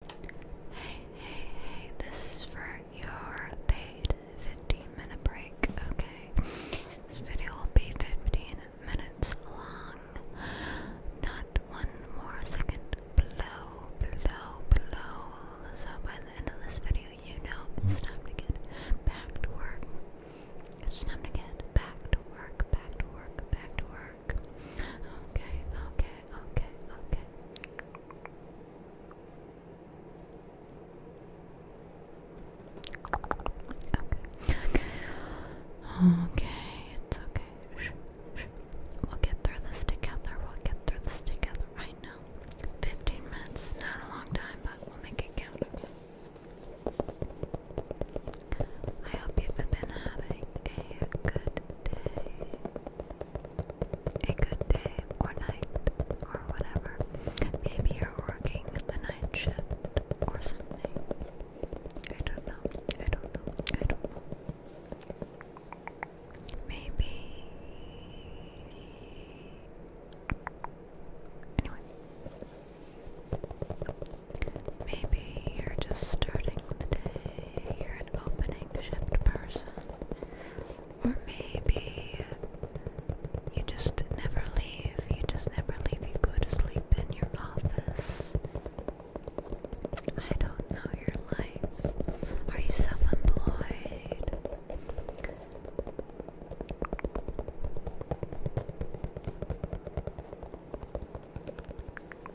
Hey, hey, hey, this is for your paid 15 minute break, okay? This video will be 15 minutes long. Not one more second below, below, below. So by the end of this video, you know it's time to get back to work. It's time to get back to work, back to work, back to work. Okay, okay, okay, okay. Okay, okay. it's okay. We'll get through this together. We'll get through this together. I know. 15 minutes, not a long time, but we'll make it count. I hope you've been having a good day a good day or night or whatever. Maybe you're working the night shift or something. I don't know. I don't know. I don't know. Maybe. Maybe you're just starting you're an opening shift person. Or maybe you just never leave, you just never leave, you go to sleep in your office. I don't know your life. Are you self employed?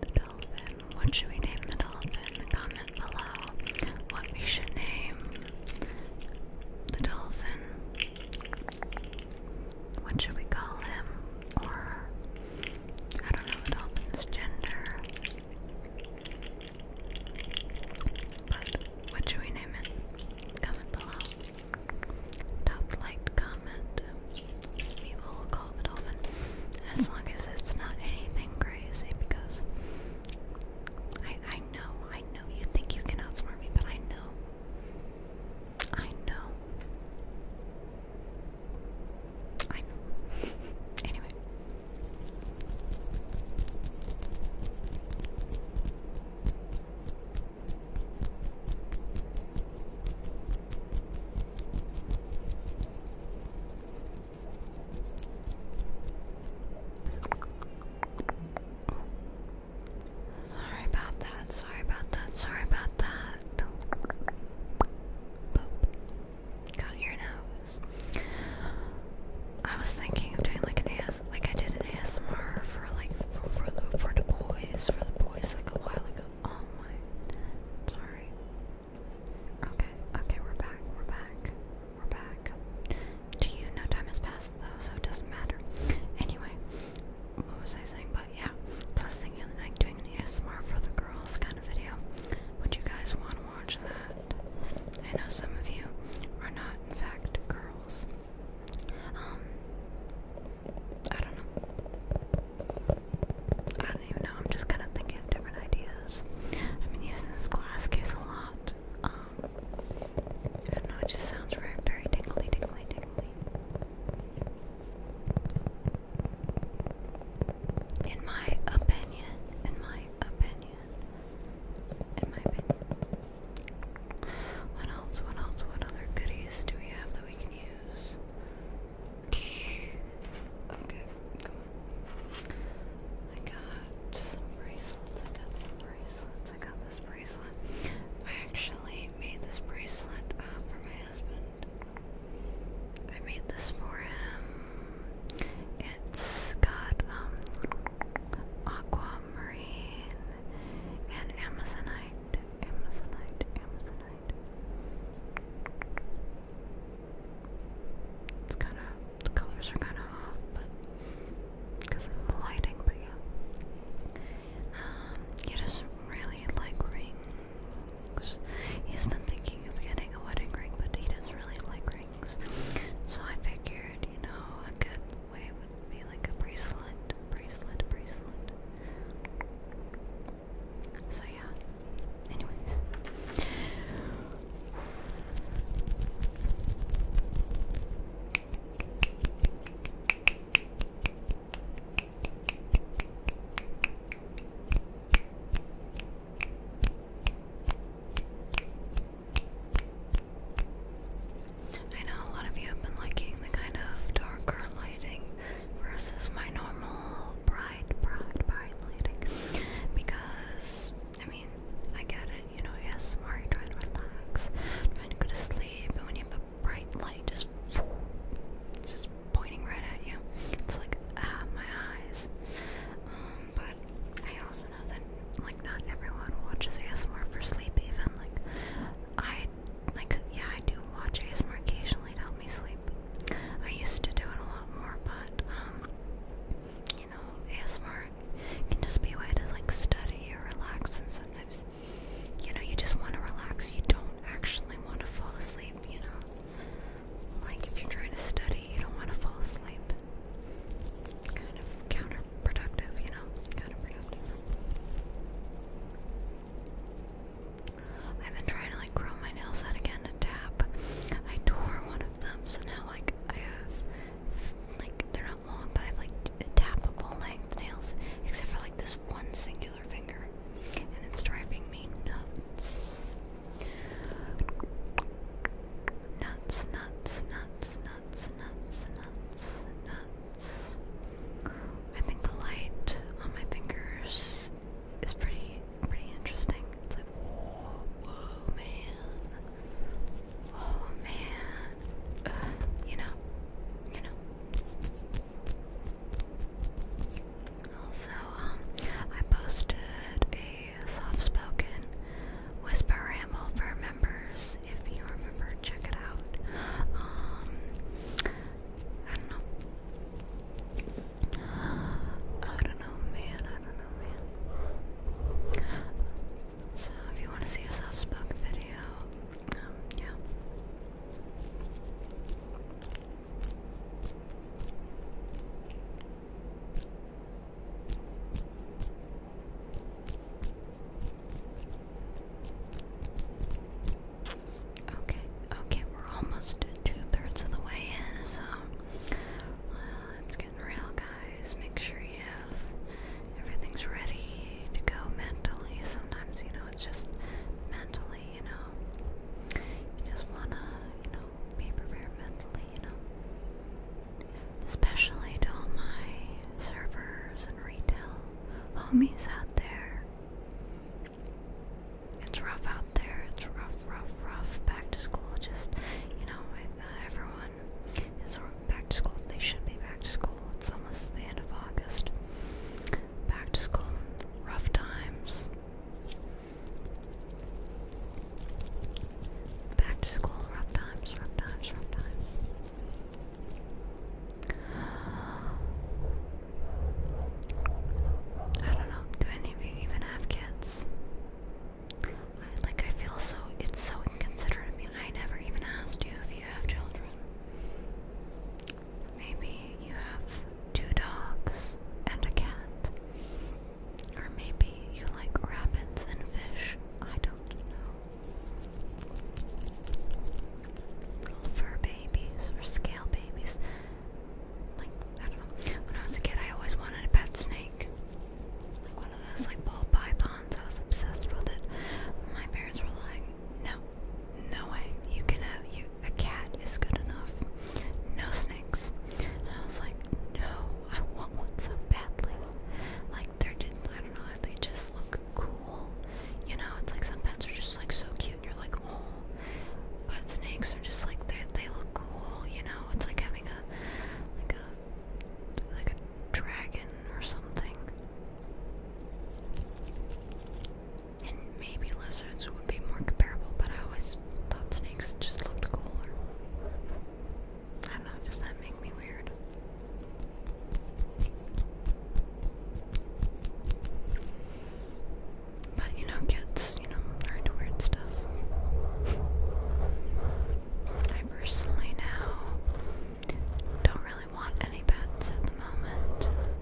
The dolphin. What should we name the dolphin? Comment below what we should name the dolphin. What should we call him? Or I don't know the dolphin's gender. But what should we name it? Comment below. Top liked comment. We will call it dolphin. As long as it's not anything crazy because I I know, I know you think you can outsmart me, but I know. I know. I know. anyway. Sorry about that, sorry about that, sorry about that. Got your note this. I was thinking of doing like an AS, like I did an ASMR for like for, for the for the boys, for the boys like a while ago. Oh my, sorry. Okay, okay, we're back, we're back, we're back. To you, no time has passed though, so it doesn't matter. Anyway, what was I saying? But yeah, so I was thinking of like doing an ASMR for the girls kind of video. Would you guys want one? I know some of you are not, in fact, girls. Um, I don't know. I don't even know. I'm just kind of thinking different ideas. I've been using this glass case a lot. Um, I don't know. It just sounds very, very tingly, tingly, tingly in my opinion, in my opinion, in my opinion. What else? What else? What other goodies do we have that we can use? Okay, come on. I got some bracelets. I got some bracelets. I got this bracelet. I actually made this bracelet uh, for my I made this for him. It's got um aquamarine and amazonite. Amazonite, amazonite. It's kind of the colors are kind of off, but because of the lighting, but yeah. Um, you just really like rings. He's been thinking of getting a wedding ring, but he doesn't really like rings. So I figured, you know, a good way would be like a bracelet, bracelet, bracelet. So yeah. Anyways. I know a lot of you have been liking the kind of darker lighting versus my normal bright, bright, bright lighting because I mean, I get it, you know, yes, Mari trying to relax, trying to go to sleep, but when you have a bright light, just, just pointing right at you. It's like ah, my eyes. Um, but I also know that like not everyone watches ASMR for sleep. Even like I like yeah, I do watch ASMR occasionally to help me sleep. I used to do it a lot more, but um, you know, ASMR can just be a way to like study or relax, and sometimes you know you just want to relax. You don't actually want to fall asleep. You know. Like if you're trying to study, you don't want to fall asleep. Kind of counterproductive, you know? Counterproductive. I've been trying to like grow my nails out again to tap. I tore one of them, so now like I have like they're not long, but I have like tappable length nails, except for like this one singular finger, and it's driving me nuts. Nuts, nuts, nuts, nuts, nuts, nuts, nuts. I think the light on my fingers is pretty pretty interesting. It's like oh, whoa man. Oh man. Uh, you know. You know. Also, um, I posted a soft spoken whisper ramble for members. If you remember, check it out. Um, I don't know. I don't know, man. I don't know, man. So, if you want to see a soft spoken video, um, yeah. Okay, okay, we're almost two thirds of the way in, so uh, it's getting real, guys. Make sure you have everything's ready to go mentally. Sometimes, you know, it's just mentally you know. You just wanna, you know, be prepared mentally, you know. Especially to all my servers and retail homies out there. It's rough out there. It's rough, rough, rough. Back to school, just you know, uh, everyone is back to school. They should be back to school. It's almost the end of August. Back to school, rough times. Back to school, rough times, rough times, rough times. I don't know, do any of you even have kids? like, I feel so, it's so inconsiderate of me. I never even asked you if you have children. Maybe you have two dogs and a cat. Or maybe you like rabbits and fish. I don't know. Little fur babies or scale babies. Like, I don't know. When I was a kid, I always wanted a pet snake. Like one of those, like, ball pythons. I was obsessed with it. My parents were like, no, no way. You can have, you, a cat is good enough. No snakes. And I was like, no, I want one so badly. Like they're just, I don't know, they just look cool. You know, it's like some pets are just like so cute and you're like, oh. But snakes are just like they they look cool, you know, it's like having a like a like a dragon or something. And maybe lizards would be more comparable, but I always thought snakes just looked cooler. I don't know, does that make me weird? But you know, kids, you know, are into weird stuff. I personally now don't really want any pets at the moment.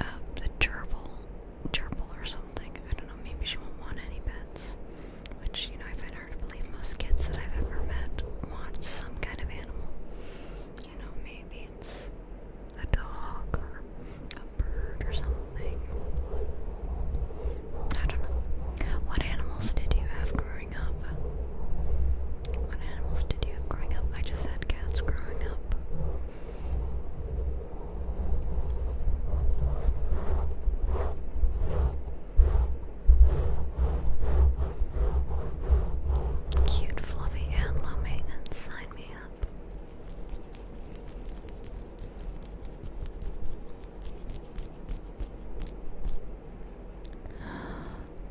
uh, the gerbil, gerbil or something. I don't know. Maybe she won't want any pets. Which you know, I find hard to believe. Most kids that I've ever met want some kind of animal. You know, maybe it's a dog or a bird or something. I don't know. What animals did you have growing up? What animals did you have growing up? I just had cats growing up. Cute, fluffy, and low Sign me up.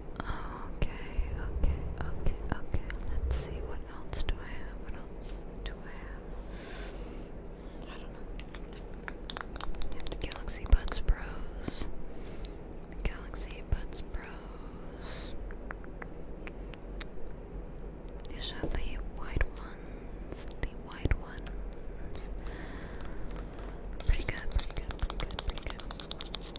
Okay, okay, okay, okay. Let's see what what else do I have? What else do I have? I don't know. We have the Galaxy Buds Pros. Galaxy Buds Pros. These are the white ones. The wide ones. Pretty good, pretty good, pretty good, pretty good.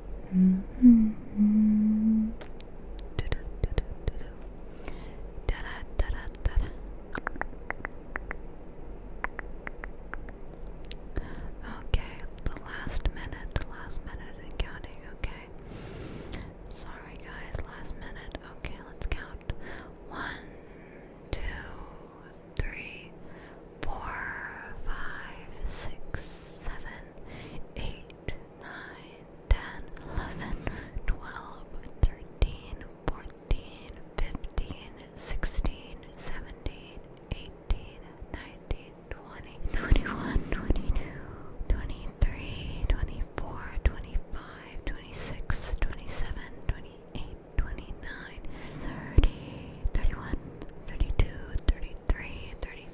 -hmm. da -da, da -da, da -da. Da -da, da -da, da -da. Okay, the last minute, the last minute and counting, okay. Sorry guys, last minute. Okay, let's count. One, two, three, four, five, six, seven, eight, 9, 10, 11, 12, 13, 14, 15, 16, 17, 18, 19, 20, 21, 22, 23, 24, 25, 26, 27, 28, 29, 30, 31, 32, 33, 34,